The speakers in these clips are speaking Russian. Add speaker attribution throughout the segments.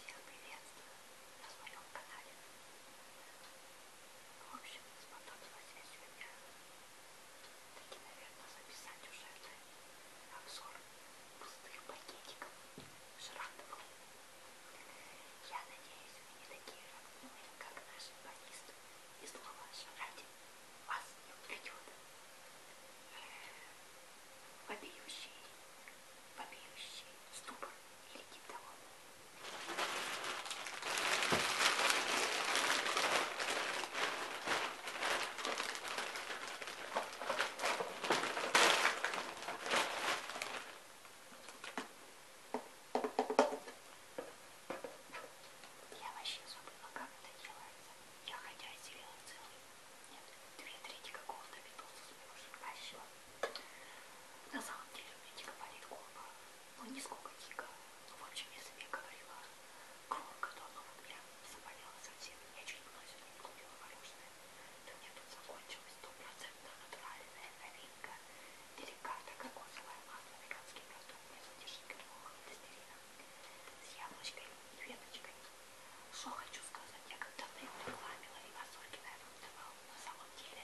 Speaker 1: Всех приветствую на своем канале. В общем, сподобилось я сегодня таки, наверное, записать уже обзор пустых пакетиков шрандовых. Я надеюсь, вы не такие родные, как наши банисты, и слово «шарати» вас не придет. Э, Побьющий вопиющий ступор или тип того. Я вообще забыла, как это делается. Я хотя и целую нет, две трети какого-то Битлса слушаю. А еще на самом деле у меня дико болит голова. Ну, не сколько дико. Ну, в общем, я себе говорила громко, то оно у меня заболело совсем. Я чуть было сюда не купила мороженое. Да у меня тут закончилась стопроцентно натуральная новинка. Деликата кокосовое масло, американский продукт, производитель шоколадного холодостерина с яблочкой и веточкой. Что хочу сказать, я когда-то их рекламила и мазурки, наверное, давала. На самом деле,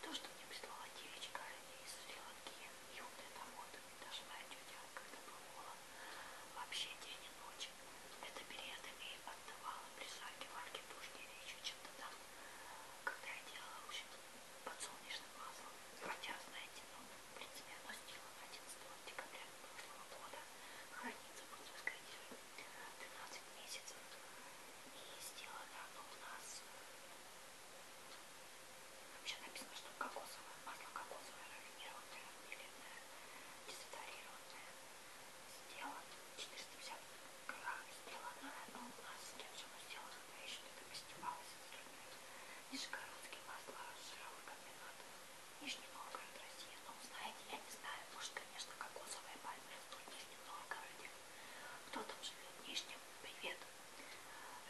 Speaker 1: то, что мне прислала девочка из Шри-Ланки, и вот это вот, даже моя тетя, когда был холод, вообще день и ночь, это периодами и отдавала при жарке варке тушки или еще чем-то там, когда я делала, в общем, подсолнечным маслом. Хотя, знаете, ну, в принципе, оно сделано 11 декабря прошлого года, хранится в русской деревне. 12 месяцев и сделали оно у нас вообще написано, что кокосовое масло кокосовое рафинированное рафинированное дезодорированное сделано 450 грамм сделано оно у нас с кем же оно сделано я еще только постепалась с другими нижегородские масла жировых комбинатов Нижний Новгород, Россия. Ну, знаете, я не знаю. Может, конечно, кокосовые пальмы растут в Нижнем Новгороде. Кто там живет в Нижнем? Привет.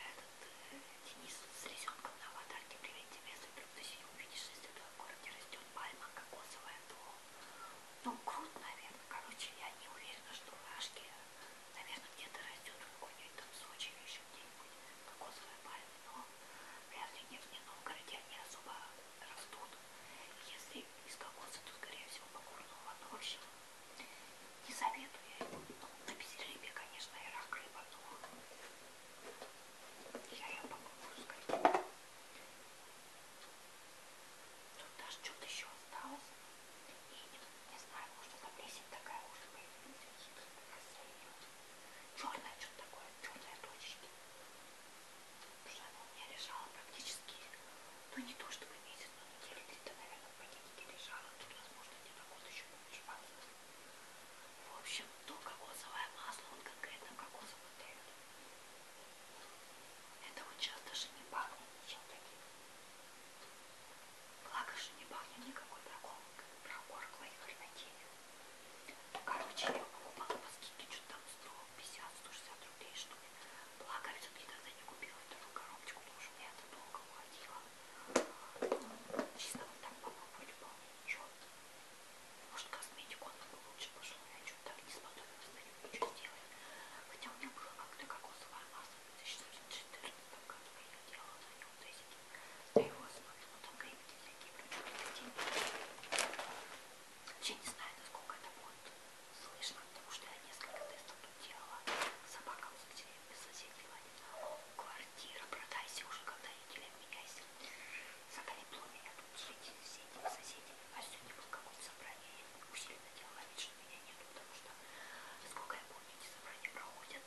Speaker 1: Этот э, Денис с резенком на аватарке. Привет тебе, если вдруг ты сию увидишь, если в твоем городе растет пальма кокосовая, то... Ну, крут, наверное. Короче, я не уверена, что в Ашке, наверное, где-то растет в какой-нибудь там Сочи или еще где-нибудь кокосовая пальма. Но вряд ли не в Новгороде они особо растут. Если из кокоса, то, скорее всего, покурного овоща. Не советую я его. Ну, на безрыбье, конечно, и рак рыба, но я ее покурю, скорее. Тут даже что-то еще осталось. И не, не знаю, может это плесень такая уже появилась. Черное что-то такое, черные точечки. Потому что она у меня лежала практически, ну не то чтобы месяц, но недели три-то, наверное, в пакетике лежала. Тут, возможно, где-то год еще помешался. В общем, то кокосовое масло, вот конкретно кокосовый дает. Это вот сейчас даже не пахнет ничем таким. Благо, что не пахнет никакой прокорклой хренотенью. Короче, я покупала по скидке что-то там 150-160 рублей, что ли. Благо, все-таки тогда не купила вторую коробочку, потому что мне это долго уходило. Чисто вот так попробую любовь, ничего. Может, косметику она бы лучше пошла, я что-то не сподобилась на нем ничего сделать. Хотя у меня была как-то кокосовая масса в 2014 году, я делала на нем тестики. На его основе, ну там крепкие всякие, причем я не знаю, насколько это будет слышно, потому что я несколько тестов тут делала. Собака в соседнего. Квартира, продайся уже, когда неделя меняйся. Заколепло меня тут жить с этими соседями. А сегодня было какое-то собрание. Я усиленно делала вид, что меня нету, потому что, насколько я помню, эти собрания проходят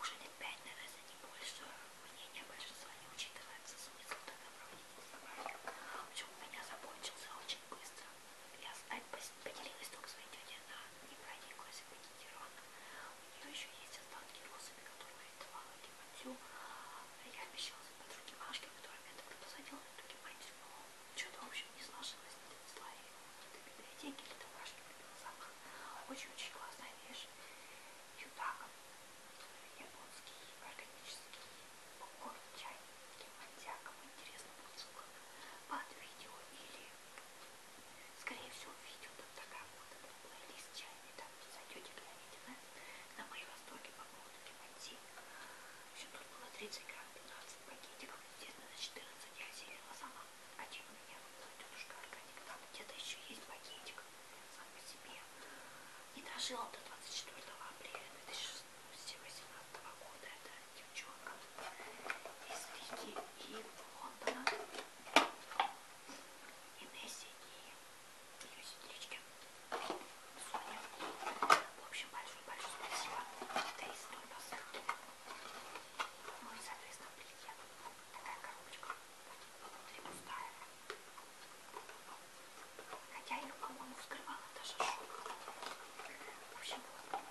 Speaker 1: уже лет пять, наверное, не больше мнение большинства не учитывается, смысл тогда правильно Причем у меня закончился очень быстро. Я поделилась только своей тетей, она не прониклась и пакетирована. У нее еще есть остатки розами, которые я давала Диматью. А я обещалась по другим ашкам, которыми я тогда посадила на другим мальчиком. Но что-то, в общем, не сложилось, не донесла ее ни до библиотеки, ни до домашних запах. Очень-очень классная вещь. Юдаком японский органический попкорн чай с мантиаком. Интересно будет под видео или, скорее всего, видео там такая вот этот плейлист чайный, там зайдете, глянете на, на мои восторги по поводу киманти. В общем, тут было 30 грамм, 15 пакетиков, естественно, за 14 я осилила сама. А чем у меня вот тетушка органик, там где-то еще есть пакетик девочка сама по себе и дожила до 24 апреля 2018 года. Это девчонка из Рики и Лондона. И Несси и ее сестрички. Соня. В общем, большое-большое спасибо. Это из Донбасса. Ну и, соответственно, приедет такая коробочка. Внутри пустая. Хотя а ее, по-моему, скрывала даже шубка. В общем, вот.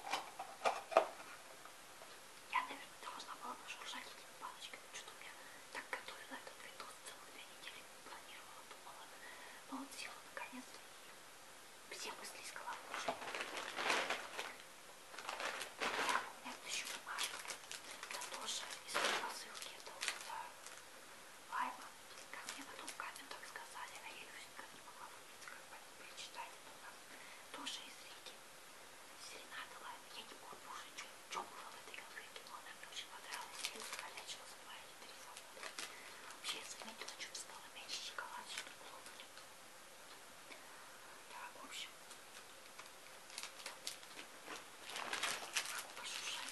Speaker 1: Я, наверное, должна была бы шуршать этими палочками. Что-то я так готовила этот видос целых две недели. Планировала, думала. Но вот села наконец-то и все мысли из головы уже. Я помню, еще бумажку. Это тоже из посылки. Это вот лайма. Э, как мне потом в комментах сказали, а я Люсенька не могла выбрать, как бы прочитать это у нас. Тоже из реки. Серенада лайм. Я не помню уже, что было в этой конкретке, но она мне очень понравилась. Я ее закалячила за два или три завода. Вообще я заметила, что стало меньше шоколада, что было Так, в общем. Могу пошушать.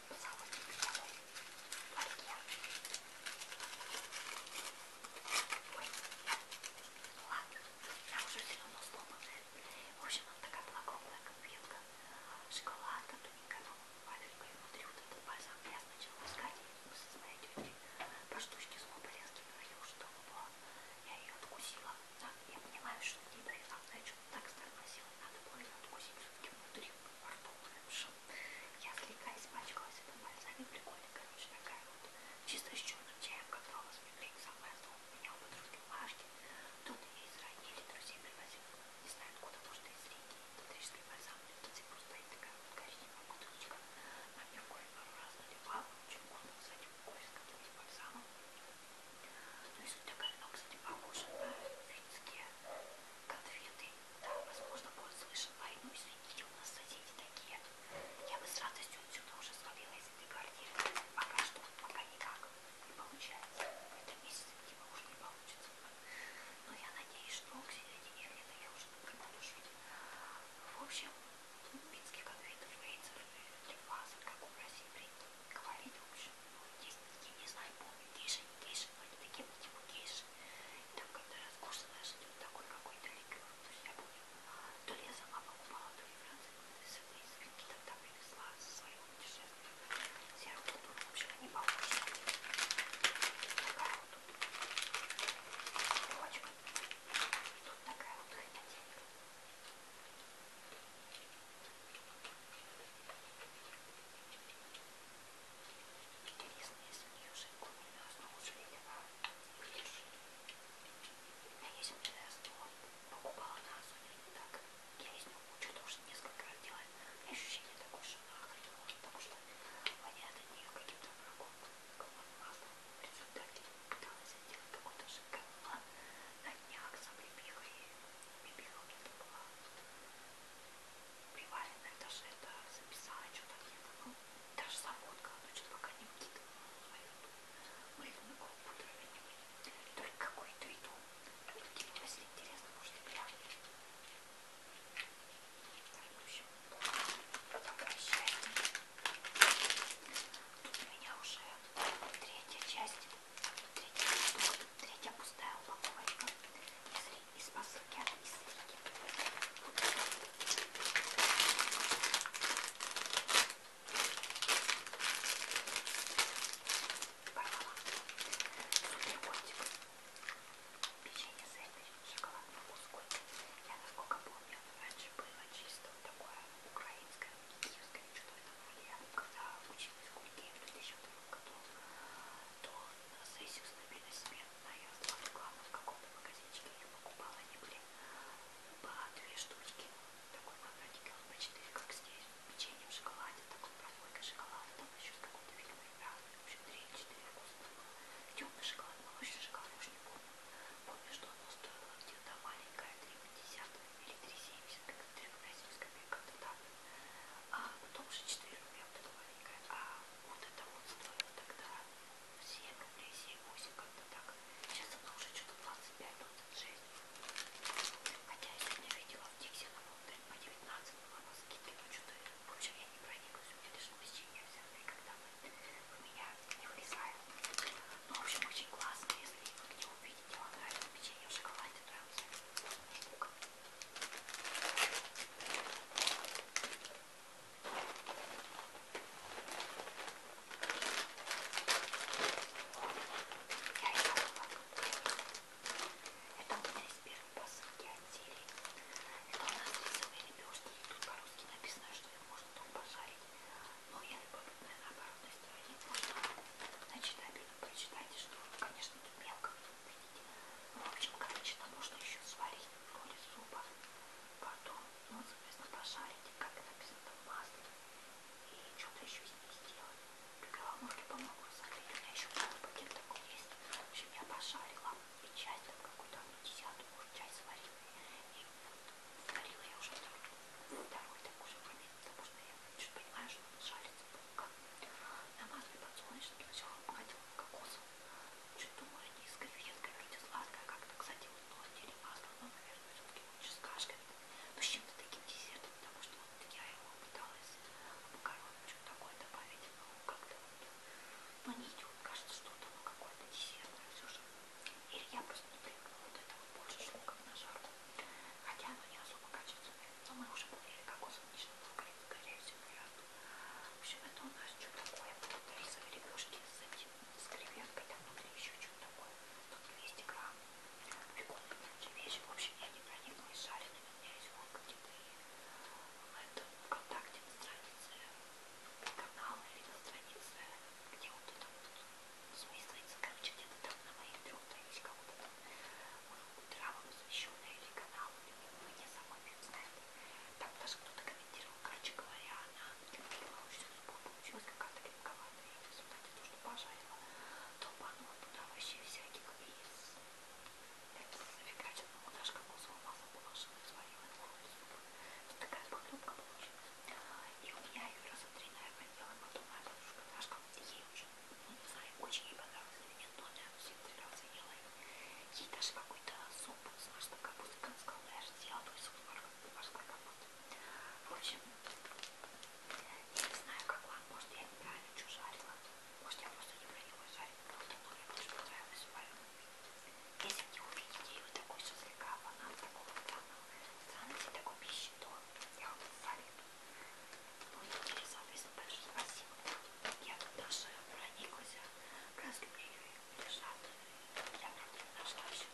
Speaker 1: позолотый беговой барьер. Ой, ладно, она уже все равно сломанная. В общем, она такая была круглая конфетка, шоколадка, тоненькая, но папелька и внутри вот этот бальзам. Я сначала искать, мы со своей тетей по штучке с полезки говорил, что было. Я ее откусила. Да, я понимаю, что мне повезло, но я что-то так странно села, надо было ее откусить все-таки внутри во рту лучше. Я слегка испачкалась это бальзами, прикольно, короче, такая вот. Чисто с черным чаем, когда у вас мигрень самая злая, меня у подружки Машки. Тут ее из Ранили друзей привозил, не знаю откуда, может из Риги, электрический бальзам. Тут здесь просто стоит такая вот коричневая бутылочка. Маме в кофе пару раз наливала, очень вкусно, кстати, кофе с каким-то бальзамом. Ну и суть такая, ну, кстати, похожа на финские конфеты да, возможно, будет слышен, пойду, извините, у нас соседи такие. Я бы с радостью отсюда уже свалила из этой квартиры. Пока что, пока никак не получается. В этом месяце, видимо, уже не получится. Но я надеюсь, что к середине лета я уже никогда душу. В общем, минских конфетов, рейцев, лимфазов, как у России принято говорить, в общем, ну, здесь я не знаю, помню тише, тише, они такие вот типа тише. И там, когда я откусывала, что такой какой-то ликер, то есть я помню, то ли я сама покупала, то ли Франция, с этой скидки там там привезла со своего путешествия. Серый вот был, вообще не похож. Такая вот тут девочка. Тут такая вот хренотелька. Интересно, если у нее жидкую не разнулся, или выдержи. У меня есть интересно, покупала на Озоне, так, я из него кучу тоже несколько раз делаю. У меня ощущение такое, что она охренела, потому что воняет от нее каким-то врагом, какого-то маслом. В результате пыталась сделать какой-то жидкой мало на днях за прибегой. Прибегал мне была приваренная, даже это записала, что-то где-то, ну, даже заводка, но ну, что-то пока не вкидывала ну, на свою эту мыльную колбу дровяную. Только какую-то иду. Тут типа, если интересно, может и глянуть. В общем, обращайте. Тут у меня уже третья часть, третья, третья пустая упаковочка. Если из посылки от Истрики. Порвала. Суперкотик. Печенье сэндвич, шоколадный кускус. Я, насколько помню, раньше было чисто такое украинское, киевское, что это было. Я когда училась в Кульке в 2002 году, то на сессию стабильно себе одна я нашла рекламу в каком-то магазинчике, я покупала, они были по две штучки, такой квадратики, он по 4, как здесь, печенье в шоколаде, такой прослойкой шоколада, там еще с какой-то фирмой, да, в общем, 3-4 вкуса было, темный шоколад, молочный шоколад, уж не помню, помню, что оно стоило где-то маленькое, 3,50 или 3,70, как-то 3,50 копеек, как-то так, а потом уже 4 рубля, вот эта маленькая, а вот это вот стоило тогда 7 рублей, 7-8 как-то так. Сейчас она уже что-то 25-26. Хотя я сегодня видела в Диксе, она была прям по 19 была на скидке, но что-то больше я не прониклась. У меня даже посещение взятые, когда мы, у меня не влезает. Ну, в общем, очень классно, если вы где увидите, вам нравится печенье в шоколаде, то я вам это у меня из первой посылки отделей. Это у нас рисовые лепешки. Тут по-русски написано, что их можно там пожарить. Но я любопытная на оборотной стороне. Можно, значит, обидно прочитать, что, конечно, тут мелко. Ну, в общем, короче, там можно еще сварить роли супа. Потом, ну, соответственно, пожарить, как написано там масло. И что-то еще с ней сделать. Муки, по-моему, разогреть. У меня еще полный пакет такой есть. В общем, я пожарила. И часть там какую-то десятую, может, часть сварила. И сварила я уже вторую. Второй так уже момент, потому что я чуть понимаю, что он жарится. Как на масле подсолнечном сначала обгадила кокос. Что-то может низкая филетка, вроде сладкая как-то, кстати, вот нос или масло, но, наверное, все-таки лучше с кашкой. Ну, с чем-то таким десертом, потому что вот я его пыталась макарон, что-то такое добавить, но как-то вот, ну, не идет, кажется, что-то, ну, какое-то десертное все же. Или я просто не привыкла, вот это вот больше шло как на жарку. Хотя оно не особо качественное, но ну, мы уже были кокосом нежным, скорее всего, не раз. В общем, это у нас что такое? Рисовые лепешки с этим, с креветкой, там внутри еще что-то такое. Тут 200 грамм. Прикольные такие вещи. В общем, я не прониклась жареными. У меня есть вон какие-то это ВКонтакте на странице канала или на странице, где вот это вот смыслится, короче, где-то там на моих трех страницах кого-то там травам посвященная или канал, мне самой не знаю, так даже кто-то комментировал, короче говоря, она любила очень судьбу, получилась какая-то крепковатая. И в результате то, что пожарила, толпанула туда вообще всяких из... Это зафигачил, ну даже кокосового масла положила, сварила его Вот такая похлебка получилась. И у меня ее раза три, наверное, делала потом моя подружка Дашка. Ей очень, ну не знаю, очень ей понравилось или нет, но я все три раза ела ее. Ей даже какой-то суп с морской капустой, как сказала, я же съела твой суп с морской капустой. В общем, я не знаю, как вам, может я неправильно что жарила, может я просто люблю его жарить, просто но мне больше понравилось варено. Если не увидите ее такой шашлыка, банан такого странного, странности такой пищи, то я вам советую. Ну и тебе, соответственно, большое спасибо я даже прониклась разлюбили лежат. Я правда не нашла еще.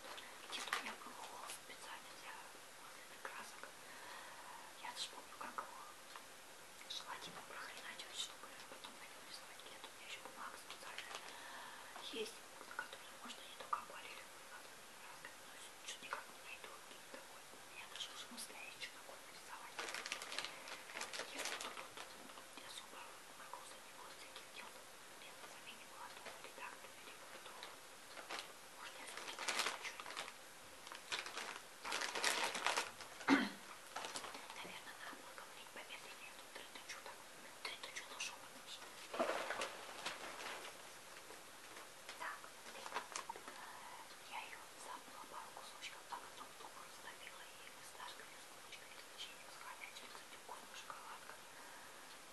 Speaker 1: Где-то у меня был холст специально для вот красок. Я даже помню, как его желательно типа, прохреначивать, чтобы потом на нем рисовать. Где-то у меня еще бумага специальная есть, на которой можно не только акварелью красками, но чуть никак не найду такой. Я даже уже мысляю, что такое нарисовать. Я тут, тут, тут, не особо нагруза не было, всяких дел нет, сами не было, то вот и так довели, что можно я скажу, что я хочу. Наверное, надо было говорить помедленнее, я тут трындычу, так, трындычу нашел отлично. Так, я ее Забыла пару кусочков, так и топ-топ раздавила и фисташка, и скулочка, и печенье с хомячкой, кстати, вкусная шоколадка.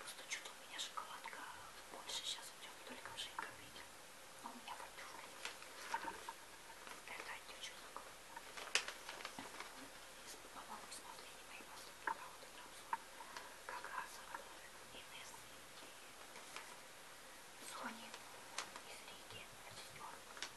Speaker 1: Просто что-то у меня шоколадка больше сейчас идет, только в жидком виде. Но у меня подпюшка. Это отечу закон. По-моему, смотрели мои поступки, да, вот это Как раз Инесс и Сони из Риги, сестер.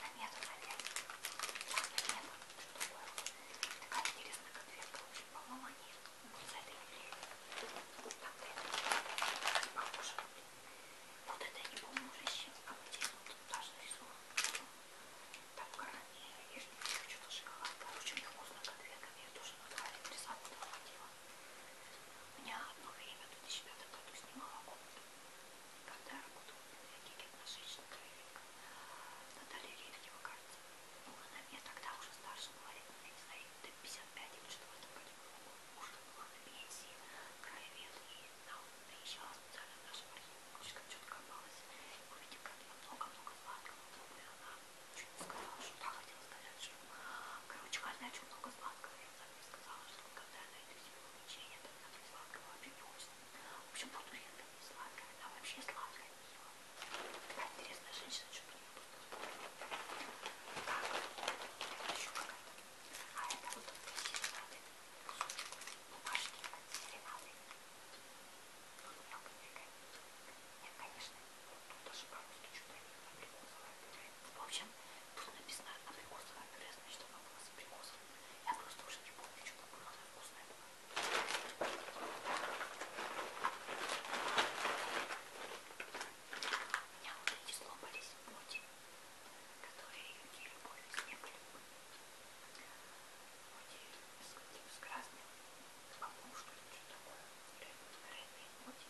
Speaker 1: Намета, наверное. Да, намета. Что такое? Такая интересная конфетка. По-моему, они вот с этой вот так-то это похоже. Вот это я не помню уже с чем. А вот здесь вот даже рисунок. Там карамель, что-то шоколад. Короче, невкусная конфетка. Я тоже на краю рисовала. У меня одно время в 2005 году снимала комнату, когда я работала в библиотеке одноженщина Кривенко, Наталья Лебедева, кажется. Ну, она мне тогда уже старше была лет, я не знаю, до 55 или что в этом году было. Уже была на пенсии, краевед, и она приезжала специально в нашем архиве, кучка четко копалась. Увидев, как я много-много сладкого, думаю, она сказала, что да, хотела сказать, что, короче, каждая о чем много сладкого, я сами сказала, что когда я найду себе увлечение, то я сладкого вообще не очень. В общем, буду я там не сладкая, она вообще сладкая не ела. Такая интересная женщина, что-то не буду. Так, это еще какая-то. А это вот зеленатый кусочек бумажки от зеленатой. Тут много фига. Нет, конечно, Тут даже по-русски что-то абрикосовое пюре. В общем, тут написано абрикосовое пюре, значит оно было с абрикосом. Я просто уже не помню, что там было, но вкусное было. У меня вот эти слопались мути, которые не любовь не были. Мути с, с красным, по-моему, что-то такое. Рэп, рэп, мути.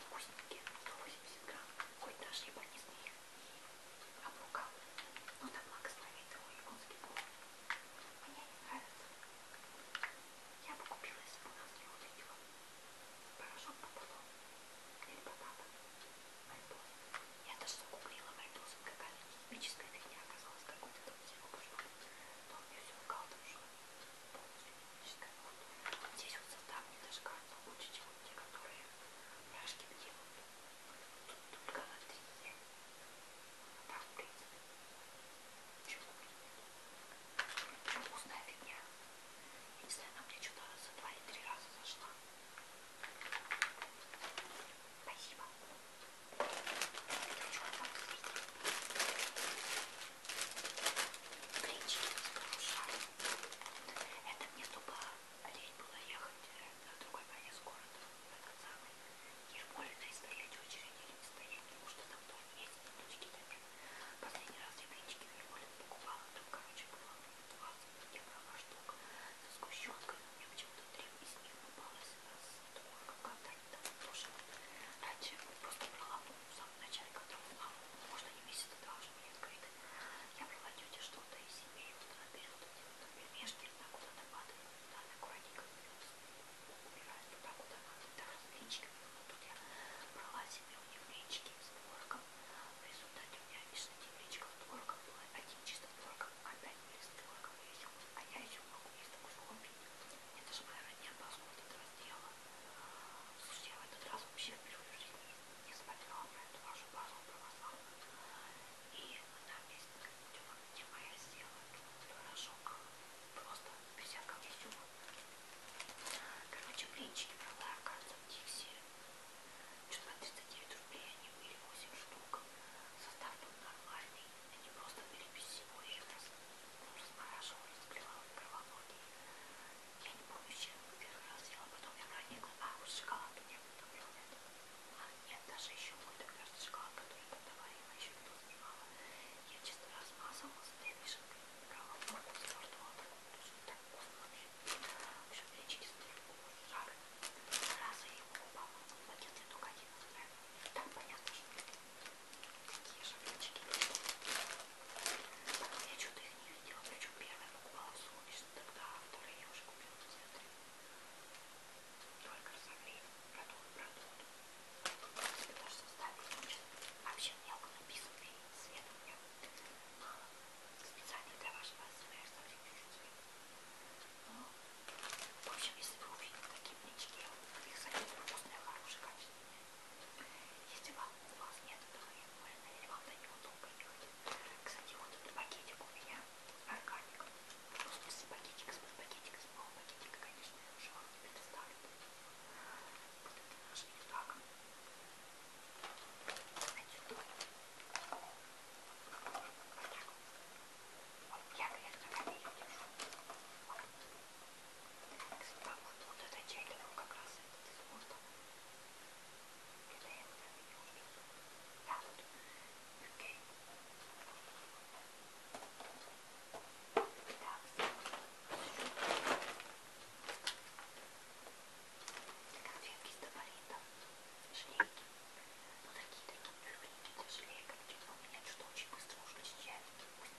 Speaker 1: Вкусненькие, 180 грамм, хоть даже я понесу их и обрукал. Но ну, да благословит его японский повар. Мне не нравится. Я бы купила, если бы у нас не увидела. Порошок пополам. Или потата. Мальбоз. Я даже загуглила мальбозом, какая химическая фигня оказалась какой-то его пошел, но он мне все лгал, там что полностью клиническая вот. Здесь вот состав мне даже кажется лучше, чем те, которые пряжки делают. Тут только на 3 е. Так, в принципе. Чего? Причем вкусная фигня. Я не знаю, она мне что-то за 2 или 3 раза зашла. Спасибо. Плечики разгружаю. Это мне тупо лень было ехать на другой конец города, этот самый Ермолино, и стоять в очереди или не стоять, потому что там тоже есть минуточки такие. Последний раз я плечики в Ермолино покупала, там, короче, было 20 евро штук со сгущенкой, но мне почему-то три из них попалось с думаю, как автор, да, слушал. Раньше просто брала в самом начале, когда была, можно не месяц, а два уже были открыты. Я брала тете что-то из семьи, вот она берет эти вот пельмешки, она куда-то падает, куда она аккуратненько берет, убирает туда, куда надо, это развлечками. Вот тут я брала себе у них речки с творогом. В результате у меня, видишь, на тех речках с творогом было один чисто творогом, опять были с творогом, и еще а я еще могу, есть такой хобби. Это же моя родня поскольку это раздела. Слушайте, я в этот раз вообще впервые в жизни не смотрела про эту вашу базу православную. И там есть тема, где моя села, пирожок. Просто без всякого изюма. Короче, блинчики брала, оказывается, в Дикси. Что-то на 39 рублей они были 8 штук. Состав был нормальный и не просто переписывал их, там размораживал, разблевал кровологии. Я не помню, чем первый раз делала, потом я проникла. А, вот шоколад у меня кто брал это. А, нет, даже еще какой-то, кажется, шоколад, который там доварила, еще кто снимала. Я чисто размазывала с этой вишенкой, брала форму с мертвого, так вкусно, так вкусно вообще. В общем, я чисто жар. Раза его, по-моему, в пакет, только один отправила. Так понятно, что такие шапочки. Я что-то их не видела, причем первая покупала солнечно тогда, а вторые я уже купила в театре. Только разогрели, продукт, продукт. Тебе даже составили, вообще мелко написанный цветом. Я специально для вашего СМР совсем чуть-чуть. Ну, в общем, если вы увидите такие плечики, я таких советов вкусное, хорошее, качественное. Если вам у вас нет этого, я больно, или вам до него долго ехать. Кстати, вот этот пакетик у меня органик. Ну, в смысле, пакетик, с пакетик, с пакетика, конечно, я уже вам не предоставлю. Вот это наш так. Отсюда. Вот так. Я, конечно, копейки держу. Вот. Так вот, вот этот чайник, ну, он как раз этот испортил. Когда я его там не увижу. Да, вот. Окей. Так, Конфетки с табаритом, шлейки. Ну, такие такие пюренькие для шлейка. У меня что-то очень быстро ушли с чайники.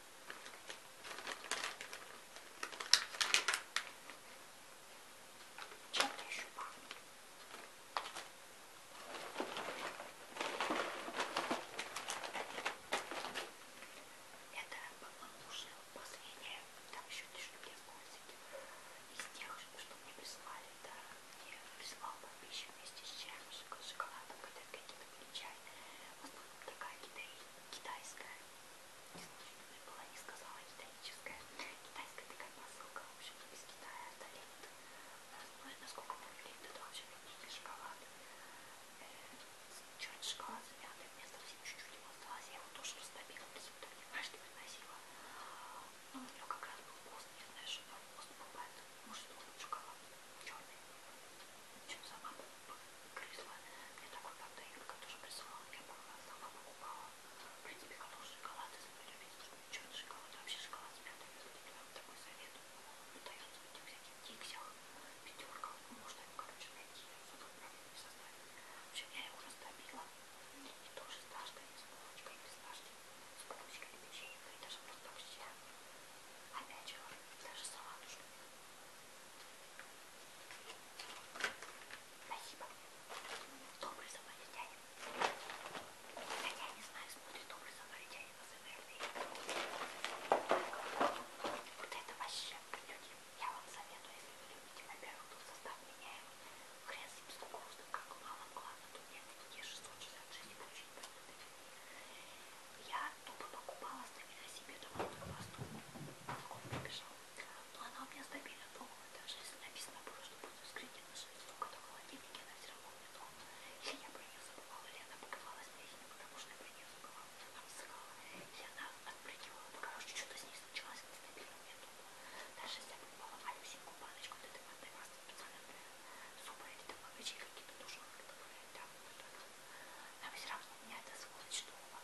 Speaker 1: Черная шуба. Это, по-моему, уже последняя, там еще лишь мне пользовать. Из тех, что мне прислали, да, мне прислал подписчик вместе с чаем, шоколадом, когда какие-то были чай. В основном такая китайская китайская. Не была, не сказала китайская. Китайская такая посылка, в общем, из Китая долит. Ну, насколько помню, это вообще не а шоколад. Э, черный шоколад замятый, мне совсем чуть-чуть его осталось. Я его тоже растопила, то есть потом не знаю, что приносила. Но ну, у него как раз был пост, не знаю, что там пост был, поэтому, может, он шоколад черный чем сама грызла. Мне такой как-то Юлька тоже присылала, я помню, сама покупала. В принципе, катал шоколад, если вы любите черный шоколад, вообще шоколад с мятой, если вам такой совет, он дается в этих всяких диксях, пятерках, ну, можно его, короче, найти, особо проблем не составит. В общем, я его растопила, и тоже с дашкой, с булочкой, без дашки, с булочкой, печенькой, даже просто вообще. Опять же, даже салатушкой. Спасибо. Добрый самаритянин. Хотя я не знаю, смотрит добрый самаритянин на СМРД. Вот это вообще, люди, я вам советую, если вы любите, во-первых, тут состав меняемый. Хрен с ним с кукурузным, как главным главным. Тут нет такие 666 получить. Я тупо покупала стабильно себе домашнюю пасту. Молоко прибежал. Но она у меня стабильно долго. Даже если написано было, что будет вскрытие нашей столько-то в холодильнике, она все равно у меня дома. Или я про нее забывала, или она покрывалась плесенью, потому что я про нее забывала, она высыхала. Или она отпрыгивала. Ну, короче, что-то с ней случилось, она стабильно у меня дома. Даже если я покупала малюсенькую баночку, вот этой пасты специально для супа или там овощей какие-то тушеных добавляют, да, вот это. Но все равно меня это сволочнуло.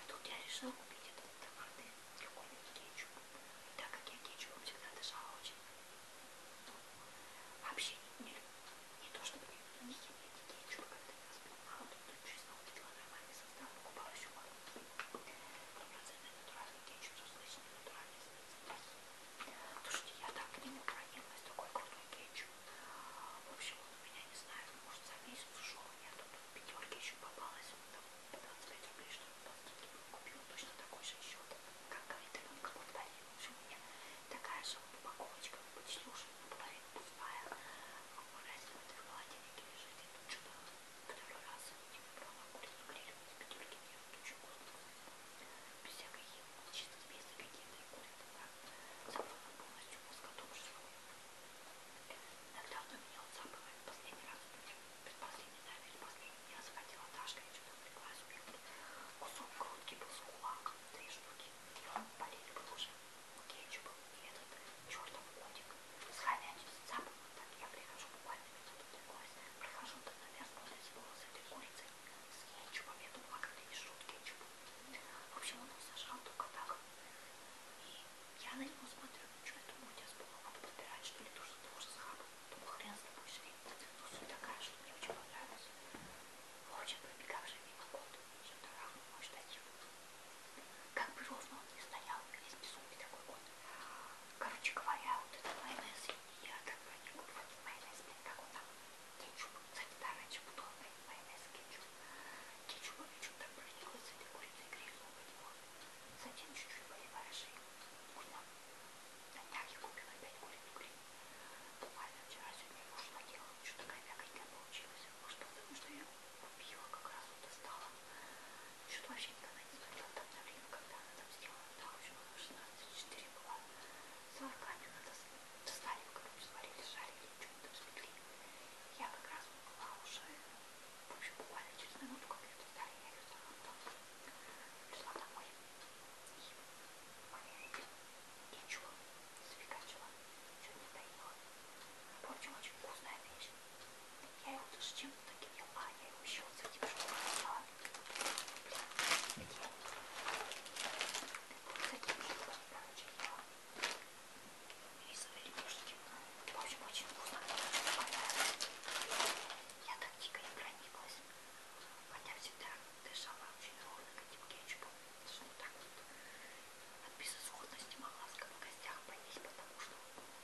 Speaker 1: И тут я решила купить этот томатный какой-нибудь кетчуп. И так как я кетчупом всегда дышала очень, ну, вообще не, не, не то чтобы не, не химить кетчуп, когда я вспоминала, тут честно увидела нормальный состав, покупала еще пару. Стопроцентный натуральный кетчуп, со слышной натуральной специальностью. Слушайте, я так к нему прониклась, такой крутой кетчуп ночью. В общем, он у меня, не знаю, может за месяц ушел, я тут в пятерке еще попалась, там 25 рублей, что ли, купила точно такой же счет, как говорит Аленка, повторила. В общем, у меня такая же упаковочка, ну, почти уже наполовину пустая, в магазине в этой холодильнике лежит, и тут что-то второй раз не выбрала курицу грилевую из пятерки, я тут очень вкусно, без всякой химии, чисто без какие-то курицы, так, поскольку полностью плоскодушный. Иногда он у меня отзапывает. Последний раз, предпоследний, наверное, последний, я захотела Дашка, я что-то пригласила, кусок грудки был с кулаком, три штуки, болели бы уже. Кетчуп был и этот чертов котик с хомячим зацапывал. Так я прихожу буквально минут этой курицы, прихожу, так, наверное, смотрится было с этой курицей, с кетчупом. Я думала, как-то не шут кетчупом. В общем, он их сажал только так. И я на него смотрю, ну что я думаю, у тебя с полом надо подбирать, что ли, то, что ты уже схапал. Думаю, хрен с тобой шли. Ну, суть такая, что мне очень понравилось. Очень пробегавший мимо кот, все тарахнул мой штатив. Как бы ровно он не стоял, весь безумный такой кот. Короче говоря, вот этот майонез, я так проникла в этот майонез, блин, как он там кетчуп, кстати, да, раньше был майонез кетчуп, кетчуп и что-то пролилось, этой куриной грязью быть может, затем чуть-чуть поливаешь и вкусно, на днях я купила опять куриную грязь, буквально вчера, сегодня муж наделал, что-то такая мягкая получилась, может потому что я купила, как раз вот достала, что-то вообще никогда не смотрела там на время, когда она там сделала, да, в общем, она 16-4 была, 40 минут достали, короче, сварили, жарили, эту петли. Я как раз была уже, в общем, буквально через минуту, как ее достали, я ее захватала. Пришла домой. И ничего, запекачила, ничего не доела. В общем, очень вкусная вещь. Я его даже чем-то таким ела, я его еще вот с этим шоколадом ела. Блин, такие. Вот с этим шоколадом, короче, ела и сырники. В общем, очень вкусно. Я так дико не прониклась, хотя всегда дышала очень ровно этим кетчупом. Даже вот так вот от безысходности могла в гостях поесть, потому что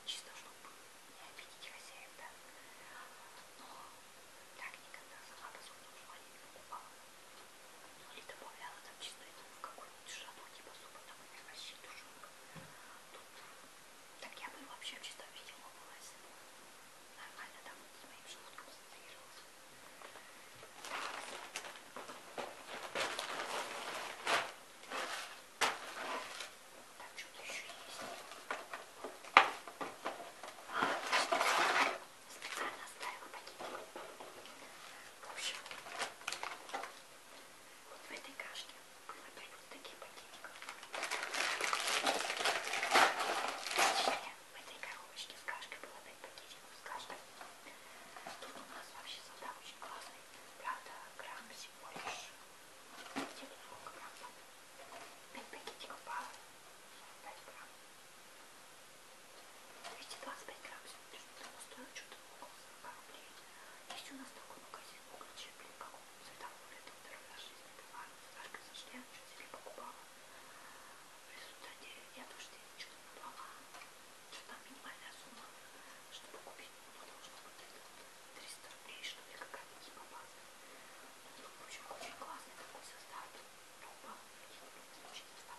Speaker 1: чисто чтобы не обидеть хозяев, да. Но так никогда сама по своему желанию не покупала и добавляла там чесночку в какую-нибудь шану, типа супа, там, или вообще тушенка. Тут так я бы вообще в чистом виде лопалась. Нормально там с моим желудком концентрировалась. Так, что-то еще есть. А, специально оставила пакетик. В общем, вот в этой кашке было 5 вот таких пакетиков. Точнее, в этой коробочке с кашкой было 5 пакетиков с кашкой. Тут у нас вообще состав очень классный. Правда, грамм всего лишь. Где-то сколько грамм? 5 пакетиков пара. 5 грамм. 225 градусов, потому стоит что-то около 40 рублей. Есть у нас такой магазин углечеплей, как у светофора, это вторая жизнь, это важно, Сашка зашли, она что-то себе покупала. В результате я тоже что-то набрала, что там минимальная сумма, чтобы купить, ну, должно быть это 300 рублей, что ли, какая-то типа база. Ну, в общем, очень классный такой состав, труба, какие-то случаи состав.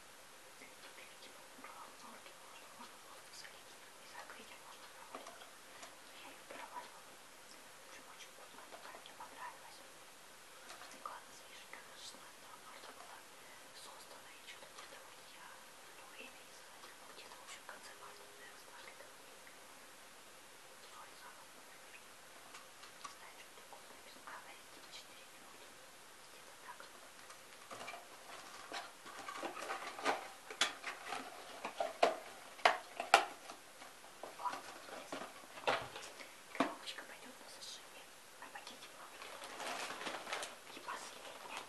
Speaker 1: Например, типа в микроволновке можно, можно просто солить и закрыть, а можно проваливать. Но я ее проваливала. Прям очень вкусная такая, мне понравилась. Стеклана с вишенкой, она шестнадцатого марта была создана, и что-то где-то вот я то время не заходила, где-то в общем в конце марта, наверное, стали это время. Соль замок, например. Не знаю, что такое написано. А, на эти 4 минуты. Коробочка пойдет на суши, на пакете мамки. И последняя,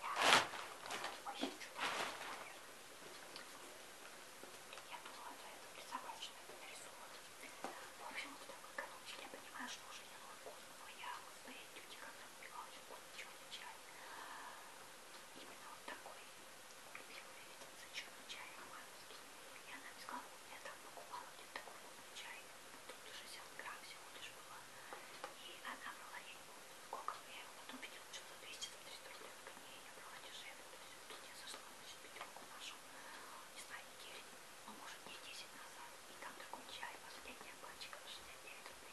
Speaker 1: очень чудовищная. Я думала, что это присобачено, это нарисовано. В общем, вот в такой коробочке я понимаю, что уже не могу, но я в своей тюте как Михайлович, он черный чай. Именно вот такой любимый видится черный чай романовский. И она мне сказала, вот я там покупала где такой крупный чай, тут 60 грамм всего лишь было. И она брала, я не помню, сколько, я его потом видела, что за 200-300 рублей в ней я брала дешевле. То есть тут я зашла, значит, пятерку нашу, не знаю, неделю, ну может не 10 назад. И там такой чай, последняя пачка, 69 рублей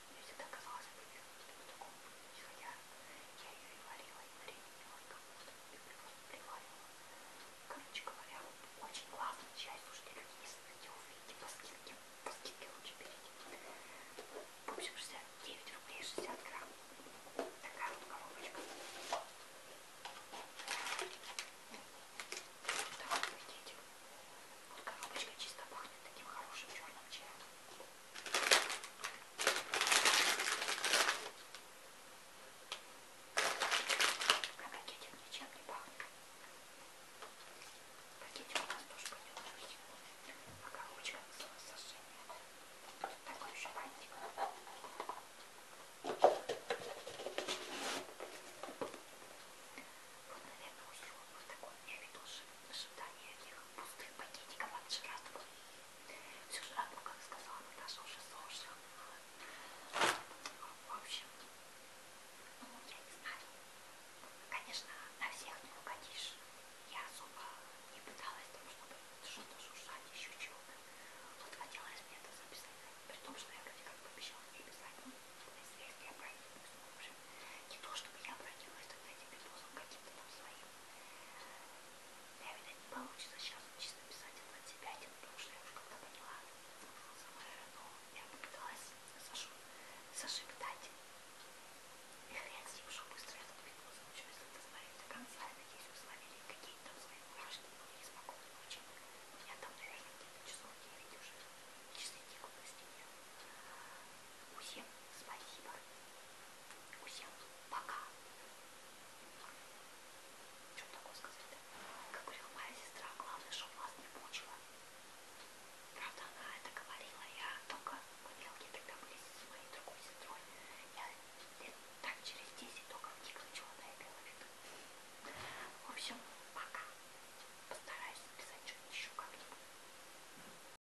Speaker 1: Мне всегда казалось, что я в таком будущем. Я, я ее и варила, и варенила, и капусту, и капусту приваривала. Короче говоря, очень классно. Чай, слушайте, люди, если хотите увидеть по скидке, по скидке лучше берите. В общем, 69 рублей 60 грамм. Такая вот коробочка. Давай, пакетик. Вот коробочка чисто пахнет таким хорошим черным чаем. Пакетик ничем не пахнет. Пакетик у нас тоже пойдет на Пока ручка сожжения. Такой еще бантик. Вот, наверное, уже вот такой у меня ведушек в ожидании этих пустых пакетиков от жратвы. Всю жратву, как сказала Наташа, уже сожрала. В общем, ну, я не знаю. Конечно, на всех не угодишь. Я особо не пыталась там, чтобы что-то шуршать, еще чего-то. Вот хотелось мне это записать. При том, что я вроде как пообещала не писать. Но ну, если я правильно пусть уже не то, чтобы я обратилась тогда этим видосом каким-то там своим. Я, видать, не получится сейчас чисто писать это от себя, потому что я уже когда поняла, но я попыталась Сашу, Саши питать. И хрен с ним, что быстро этот видос получился. Это смотрели до конца, я надеюсь, вы словили какие-то там свои мурашки, были спокойной ночи. У меня там, наверное, где-то часов 9 уже. Часы тихо на стене. Усем спасибо. Усел. Пока. Что такое сказать-то? Как говорила моя сестра, главное, чтобы вас не мучила. Правда, она это говорила. Я только мы мелкие тогда были с моей другой сестрой. Я лет так через 10 только вникла, чего она имела в виду. В общем, пока. Постараюсь написать что-нибудь еще как-нибудь.